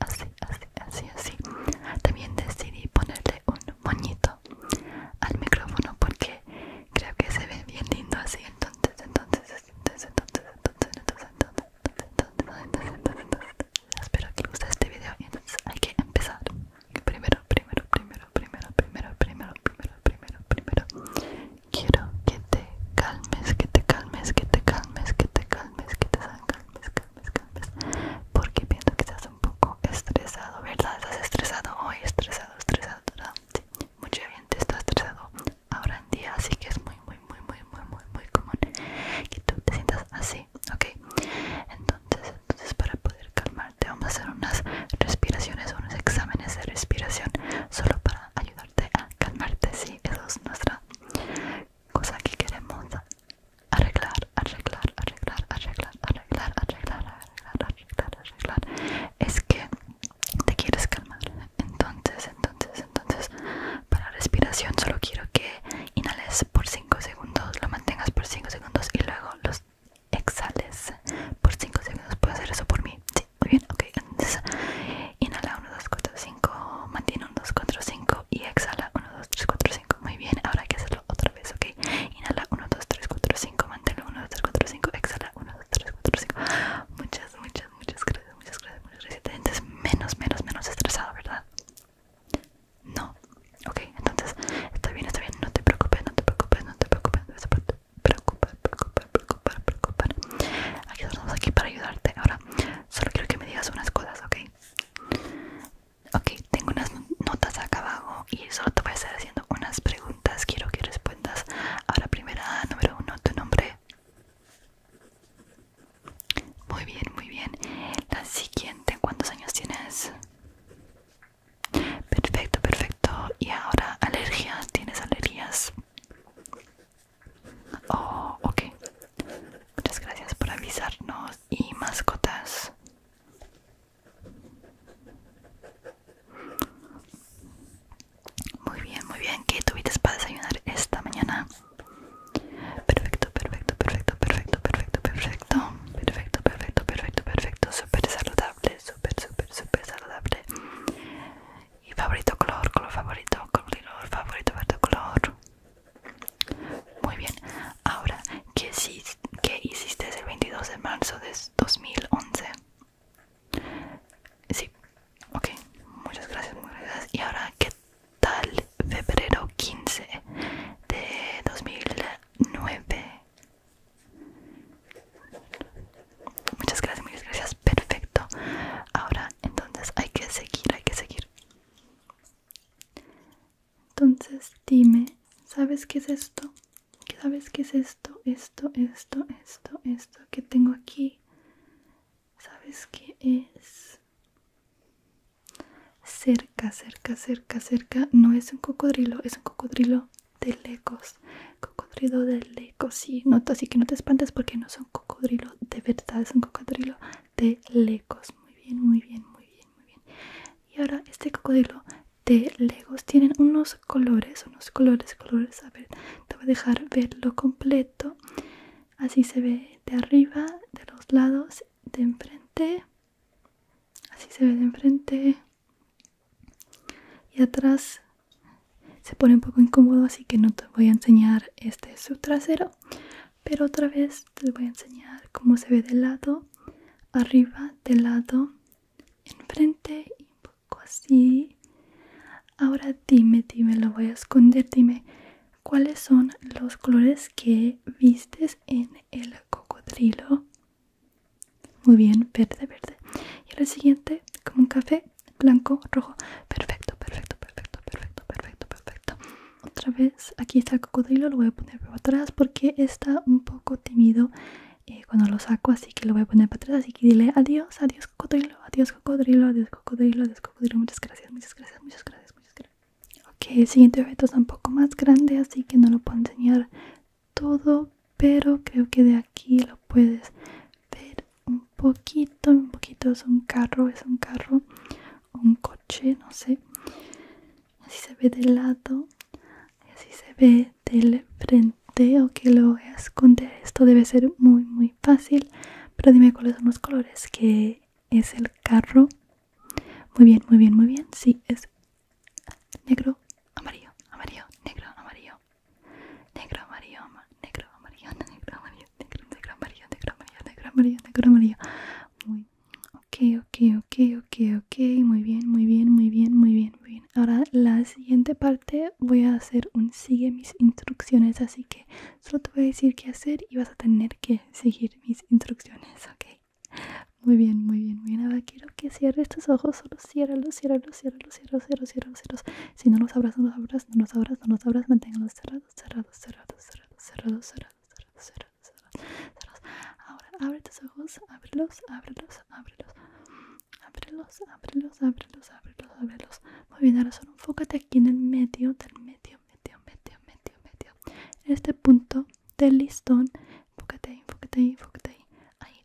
así, así, así, así, También decidí ponerle un moñito al micrófono porque creo que se ve bien lindo así. Entonces, entonces, entonces, entonces, entonces, entonces, entonces, entonces, que guste este video y entonces hay que empezar. Primero, primero, primero, primero, primero, primero, primero, primero, primero. Quiero que te calmes, que te calmes, que te calmes, que te porque pienso que estás un poco estresado, ¿verdad? Estás estresado hoy, estresado, estresado, ¿verdad? Sí, mucha gente está estresado ahora en día, así que es muy, muy, muy, muy, muy, muy, muy común que tú te sientas así, ¿ok? Entonces, entonces para poder calmarte vamos a hacer unas respiraciones, unos exámenes de respiración, solo para ayudar calmarte, a ah, calmarte, sí, eso es nuestra cosa que queremos arreglar, arreglar, arreglar, arreglar, arreglar, arreglar, arreglar, arreglar, arreglar. Es que te quieres calmar. Entonces, entonces, entonces, para respiración solo quiero que inhales por 5 segundos, lo mantengas por 5 segundos y luego los exhales por 5 segundos. ¿Puedo hacer eso por mí? Sí, muy bien, ok. Entonces, inhala 1, 2, 3, 4, 5. Mantiene 1, 2, 4, 5. Y exhala 1, 2, 3, 4, 5. Muy bien, ahora hay que hacerlo otra vez, ok. Inhala 1, 2, 3, 4, 5. Manténlo 1, 2, 3, 4, 5. Exhala 1, 2, 3, 4, 5. Muchas, muchas, muchas gracias, muchas gracias, Te sientes menos, menos, menos estresado, ¿verdad? No, ok, entonces está bien, está bien, no te preocupes, no te preocupes, no te preocupes, no te preocupes, preocupar, preocupar, preocupar, preocupar. Aquí estamos aquí para ayudarte. Ahora Solo quiero que me digas unas cosas, ¿ok? Ok, tengo unas notas acá abajo y solo te voy a estar haciendo unas preguntas. Quiero que respondas Ahora, primera, número uno, tu nombre. Muy bien, muy bien. La siguiente, ¿cuántos años tienes? Perfecto, perfecto. Y ahora, alergias, ¿tienes alergias? Oh, ok. Muchas gracias por avisarnos. Y mascotas. Muy bien, muy bien. ¿Qué tuviste para desayunar esta mañana? Perfecto, perfecto, perfecto, perfecto, perfecto, perfecto. Perfecto, perfecto, perfecto, perfecto. Súper saludable, súper, súper, súper saludable y favorito color, color favorito, color favorito, verde color. Muy bien, ahora, ¿qué, hiciste el 22 de marzo de 2011? Sí, ok, muchas gracias, muchas gracias. Y ahora, ¿qué tal febrero 15 de 2009? Muchas gracias, muchas gracias. Perfecto. Ahora, entonces hay que seguir, hay que seguir. Entonces dime, ¿sabes qué es esto? ¿Sabes qué es esto? Esto, esto, esto, esto que tengo aquí. ¿Sabes qué es? Cerca, cerca, cerca, cerca. No es un cocodrilo, es un cocodrilo de lejos. Cocodrilo de lejos sí así que no te espantes porque no son cocodrilo de verdad, es un cocodrilo de legos. Muy bien, muy bien, muy bien, muy bien. Y ahora este cocodrilo de legos tiene unos colores, unos colores, colores. A ver, te voy a dejar verlo completo. Así se ve de arriba, de los lados, de enfrente. Así se ve de enfrente y atrás se pone un poco incómodo así que no te voy a enseñar este su trasero pero otra vez te voy a enseñar cómo se ve de lado arriba de lado enfrente y un poco así ahora dime dime lo voy a esconder dime cuáles son los colores que vistes en el cocodrilo muy bien verde verde y lo siguiente como un café blanco, rojo. Perfecto, perfecto, perfecto, perfecto, perfecto, perfecto. Otra vez, aquí está el cocodrilo, lo voy a poner para atrás porque está un poco tímido eh, cuando lo saco, así que lo voy a poner para atrás. Así que dile adiós, adiós cocodrilo, adiós cocodrilo, adiós cocodrilo, adiós cocodrilo. Muchas gracias, muchas gracias, muchas gracias, muchas gracias. Ok, el siguiente objeto es un poco más grande, así que no lo puedo enseñar todo, pero creo que de aquí lo puedes ver un poquito un poquito es un carro es un carro un coche no sé así se ve del lado así se ve del frente o que lo voy a esconder esto debe ser muy muy fácil pero dime cuáles son los colores que es el carro muy bien muy bien muy bien sí es negro amarillo amarillo negro amarillo negro amarillo, negro amarillo, negro amarillo, negro, negro amarillo, negro amarillo, negro amarillo, negro amarillo. Muy, ok, ok, ok, ok, ok, muy bien, muy bien, muy bien, muy bien, muy bien. Ahora la siguiente parte voy a hacer un sigue mis instrucciones, así que solo te voy a decir qué hacer y vas a tener que seguir mis instrucciones, ok. Muy bien, muy bien, muy bien. Ahora quiero que cierres tus ojos, solo ciérralos, ciérralos, ciérralos, ciérralos, ciérralos, ciérralos, ciérralos. Si no los abras, no los abras, no los abras, no los abras, manténganlos cerrados, cerrados, cerrados, cerrados, cerrados, cerrados, cerrados, cerrados, cerrados. Ahora abre tus ojos, ábrelos, ábrelos, ábrelos. Ábrelos, ábrelos, ábrelos, ábrelos, ábrelos. Muy bien, ahora solo enfócate aquí en el medio, del medio, medio, medio, medio, medio. En este punto del listón, enfócate ahí, enfócate ahí, enfócate ahí. Ahí,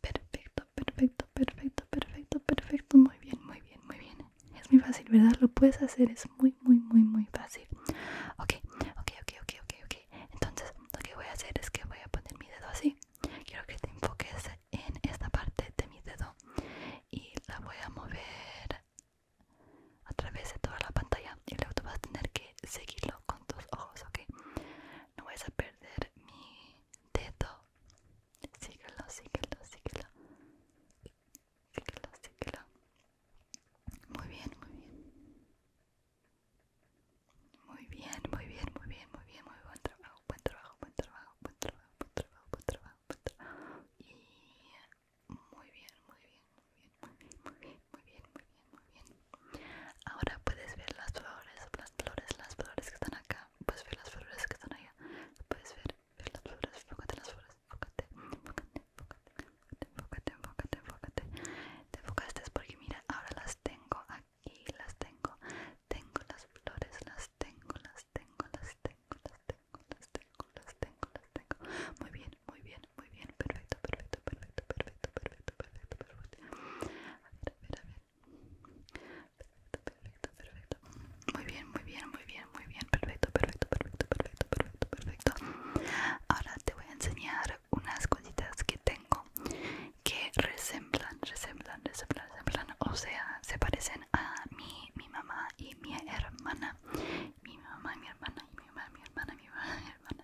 Perfecto, perfecto, perfecto, perfecto, perfecto. Muy bien, muy bien, muy bien. Es muy fácil, ¿verdad? Lo puedes hacer, es muy, muy, muy, muy fácil. Ok, ok, ok, ok, ok, ok. Entonces, lo que voy a hacer es que voy a poner mi dedo así. Quiero que te enfoques en esta parte de mi dedo y la voy a mover a través de toda la pantalla y luego tú vas a tener que Síguelo con tus ojos, ¿ok? No vas a perder mi dedo. Síguelo, síguelo, síguelo. Síguelo, síguelo. Muy bien, muy bien. Muy bien, muy bien, muy bien, muy bien, muy buen trabajo, buen trabajo, buen trabajo, buen trabajo, buen trabajo, buen trabajo. Y muy bien, muy bien muy bien, muy bien, muy bien, muy bien, muy bien. Ahora puedes ver las flores, las flores, las flores que están acá. Puedes ver las flores que están allá. Puedes ver, ver las flores, enfócate las flores, enfócate, enfócate, enfócate, enfócate, enfócate, enfócate. Te enfocaste porque mira, ahora las tengo aquí, las tengo, tengo las flores, las tengo, las tengo, las tengo, las tengo, las tengo, las tengo, las tengo. Muy bien, muy bien, muy bien, perfecto, perfecto, perfecto, perfecto, perfecto, perfecto, perfecto. A ver, a ver, a ver. Perfecto, perfecto, perfecto. Muy bien, muy bien, muy bien, muy bien, perfecto, perfecto, perfecto, perfecto, perfecto, perfecto. Ahora te voy a enseñar unas cositas que tengo que resemblan, resemblan, resemblan, resemblan, o sea, se parecen a mi, mi mamá y mi hermana. Mi mamá, mi hermana y mi mamá, mi hermana, mi mamá, mi hermana.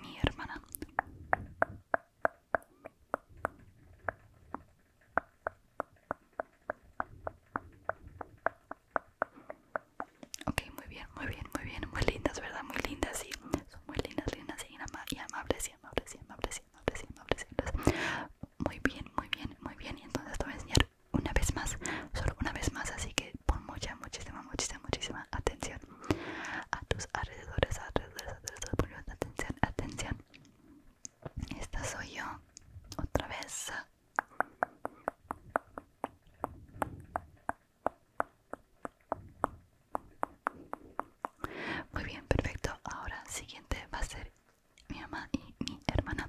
mi, hermana. Ok, muy bien, muy bien, muy bien, muy lindas, ¿verdad? Muy lindas, sí. Son muy lindas, lindas y, y amables, y amables, y amables, y amables, y amables, y Muy bien, muy bien, muy bien. Y entonces te voy a enseñar una vez más, solo una vez más. Así que pon mucha, muchísima, muchísima, muchísima atención a tus alrededores, alrededores, atención, atención. Esta soy yo, otra vez. Muy bien, perfecto. Ahora siguiente va a ser mi mamá y mi hermana.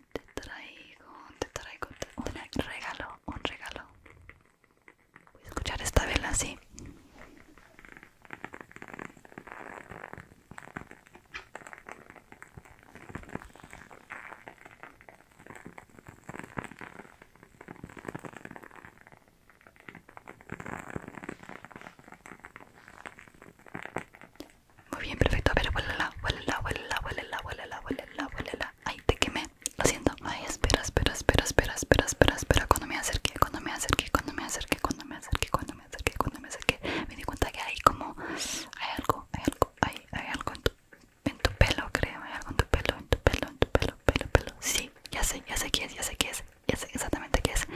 Te traigo, te traigo, un regalo, un regalo. Voy a escuchar esta vela así. Muy bien, perfecto. A ver, huélela, huélela, huélela, huélela, huélela, huélela, huélela. Ay, te quemé. Lo siento. Ay, espera, espera, espera, espera, espera, espera, espera. Cuando me acerqué, cuando me acerqué, cuando me acerqué, cuando me acerqué, cuando me acerqué, cuando me acerqué, me di cuenta que hay como... Hay algo, hay algo, hay, hay algo en tu, en tu pelo, creo. Hay algo en tu pelo, en tu pelo, en tu pelo, pelo, pelo. Sí, ya sé, ya sé qué es, ya sé qué es. Ya sé exactamente qué es.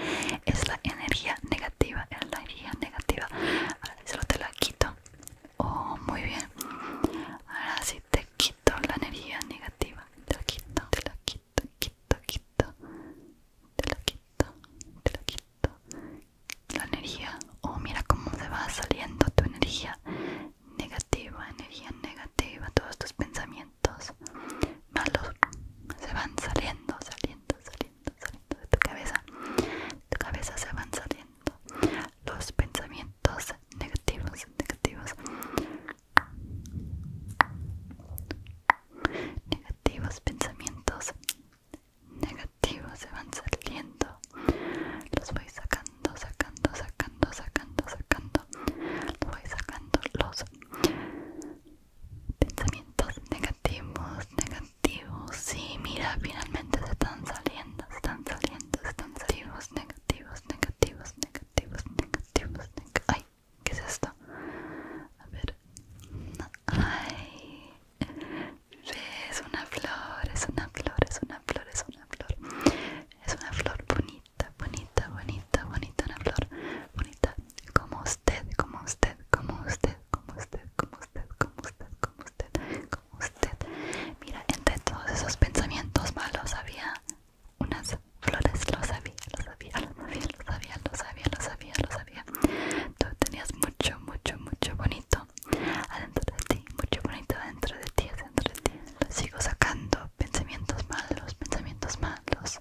Es la energía negativa, es la energía negativa solo te la quito. Oh, muy bien. Ahora sí te quito la energía negativa. Te la quito, te la quito, quito, quito. Te la quito, te la quito. La energía. Oh, mira cómo se va saliendo tu energía negativa, energía negativa. Todos tus pensamientos malos se van saliendo, saliendo, saliendo saliendo, de tu cabeza. tu cabeza se van saliendo los pensamientos negativos, negativos. Negativos pensamientos negativos se van saliendo. Los voy sacando, sacando, sacando, sacando, sacando. Los voy sacando los pensamientos negativos, negativos. Sí, mira, finalmente se están saliendo, están saliendo, están saliendo. Negativos, negativos, negativos, negativos, Ay, ¿qué es esto? A ver. Ay, es una flor, es una flor, es una flor, es una flor. Es una flor bonita, bonita, bonita, bonita, una flor bonita. Como usted, como usted, como usted como usted, como usted, como usted, como usted, como usted. Mira, entre todos esos pensamientos malos había unas flores, lo sabía, lo sabía, lo sabía, lo sabía, lo sabía, lo sabía, lo sabía. Tú tenías mucho, mucho, mucho bonito adentro de ti, mucho bonito adentro de ti, adentro de ti. sigo sacando, pensamientos malos, pensamientos malos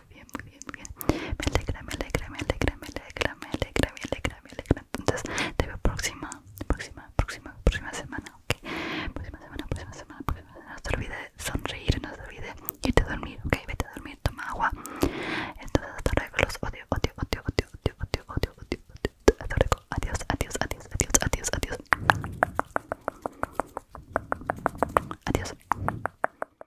muy bien, muy bien, muy bien. Me alegra, me alegra, me alegra, me alegra, me alegra, me alegra, me alegra. Entonces te veo próxima, próxima, próxima, próxima semana, ok. Próxima semana, próxima semana, próxima semana. No se olvide sonreír, no se olvide irte a dormir, ok. Vete a dormir, toma agua. Entonces hasta luego, los odio, odio, odio, odio, odio, odio, odio, odio, odio. adiós, adiós, adiós, adiós, adiós, adiós. Adiós.